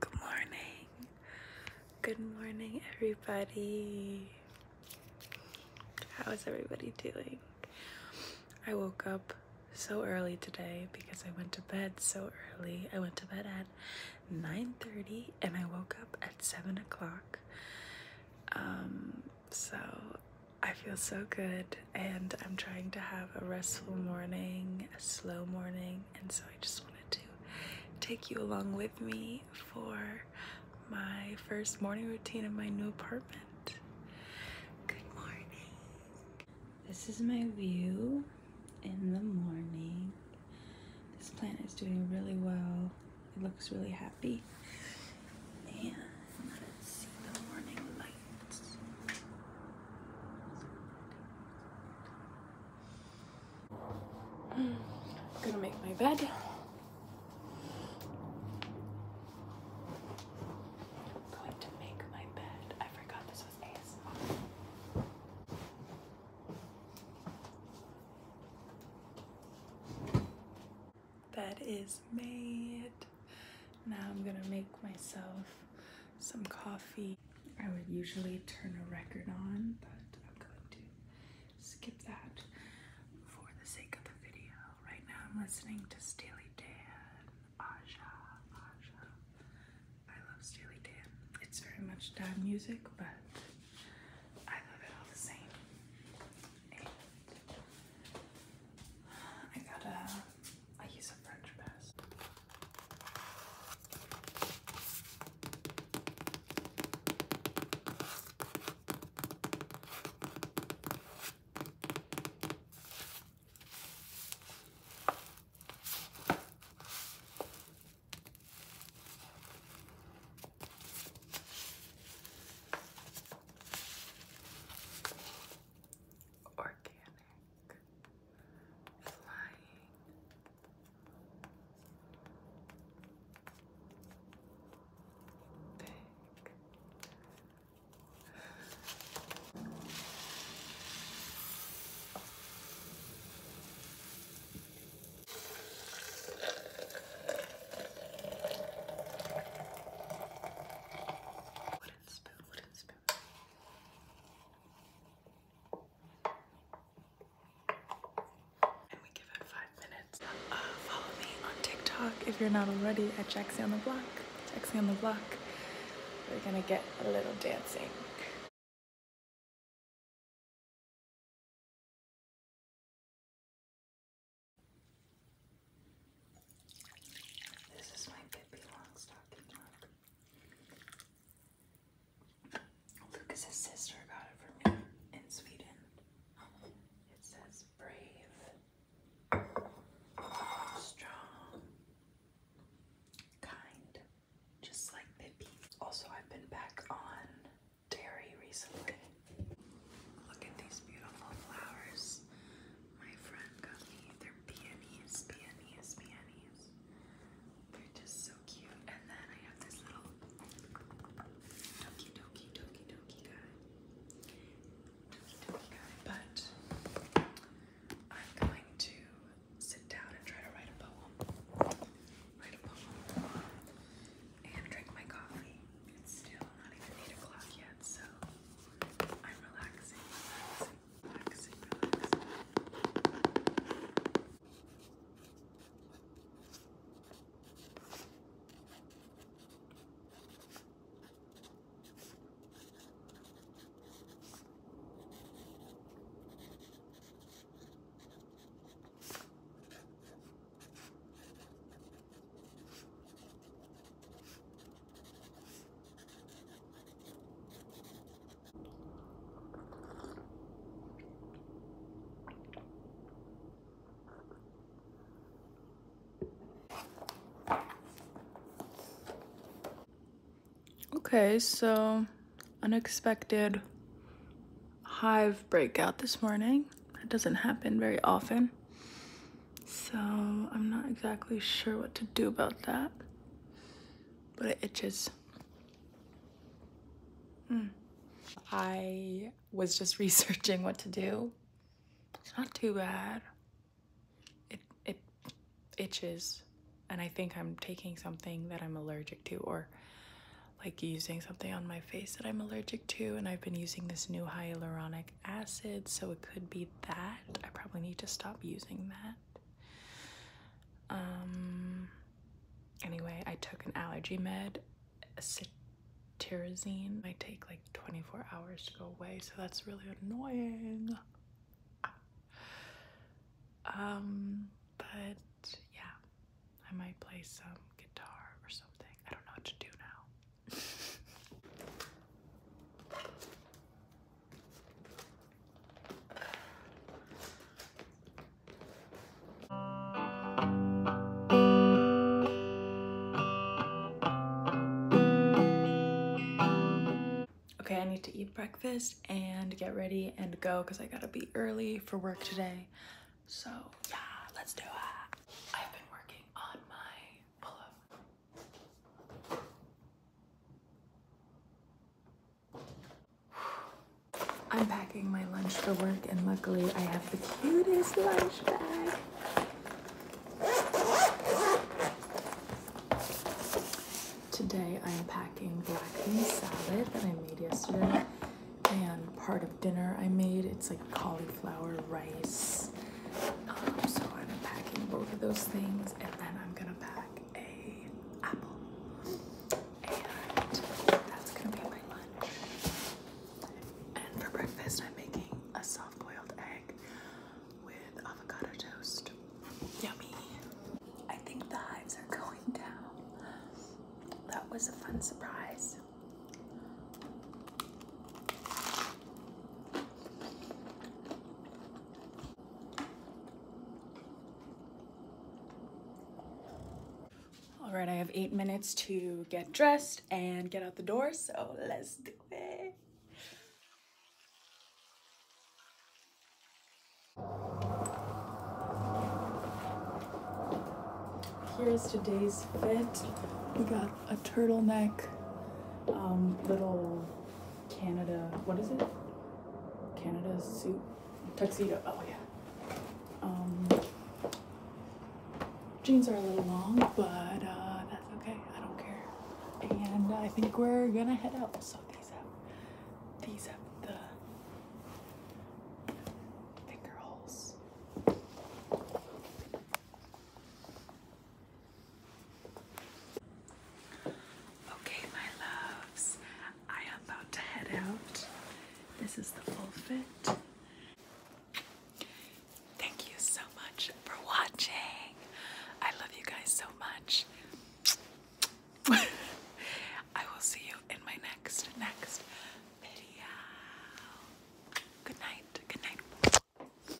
Good morning. Good morning, everybody. How is everybody doing? I woke up so early today because I went to bed so early. I went to bed at 9:30 and I woke up at 7 o'clock. Um, so I feel so good, and I'm trying to have a restful morning, a slow morning, and so I just wanted to take you along with me for my first morning routine in my new apartment. Good morning. This is my view in the morning. This plant is doing really well. It looks really happy. And I'm gonna make my bed. I'm going to make my bed. I forgot this was ASMR. Bed is made. Now I'm gonna make myself some coffee. I would usually turn a record on, but I'm going to skip that for the sake of the video. Right now I'm listening to Steely Dan, Aja, Aja. I love Steely Dan. It's very much dad music, but I love it all the same. I got a I use a French press. Organic panic, flying. Big. Wooden spoon, wooden spoon, and we give it five minutes. Uh, follow me on TikTok if you're not already at Jaxie on the Block. Jaxie on the Block. We're gonna get a little dancing. This is my Pippi Longstocking mug. Lucas's sister got it for me in Sweden. It says brave, strong, kind, just like Pippi. Also, I've been back on dairy recently. Look at these beautiful flowers my friend got me. They're peonies, peonies, peonies. They're just so cute. And then I have this little doki doki doki doki guy. Doki doki guy. But I'm going to sit down and try to write a poem. Write a poem. And drink my coffee. It's still not even 8 o'clock yet, so I'm relaxing, relaxing, relaxing, relaxing. Okay, so unexpected hive breakout this morning. That doesn't happen very often. So I'm not exactly sure what to do about that, but it itches. Mm. I was just researching what to do. It's not too bad. It, it itches and I think I'm taking something that I'm allergic to or like using something on my face that I'm allergic to and I've been using this new hyaluronic acid, so it could be that. I probably need to stop using that. Um, anyway, I took an allergy med, cetirizine. Might take like 24 hours to go away, so that's really annoying. Um, but yeah, I might play some guitar or something. I don't know what to do now okay, I need to eat breakfast and get ready and go because I gotta be early for work today. So yeah, let's do it. I've been working on my pull I'm packing my lunch for work and luckily I have the cutest lunch bag. Today I'm packing black bean salad that I made yesterday and part of dinner I made. It's like cauliflower rice um, so I'm packing both of those things and then I'm gonna pack a apple. And that's gonna be my lunch. And for breakfast I'm making a soft boiled egg with avocado toast. Yummy. I think the hives are going down. That was a fun surprise. All right, I have eight minutes to get dressed and get out the door, so let's do it. Here's today's fit. We got a turtleneck, um, little Canada. What is it? Canada suit tuxedo. Oh yeah. Um, jeans are a little long, but uh, that's okay. I don't care. And I think we're gonna head out. So these have these have the finger holes. Okay, my loves, I am about to head out. This is the full Thank you so much for watching. I love you guys so much. I will see you in my next, next video. Good night. Good night.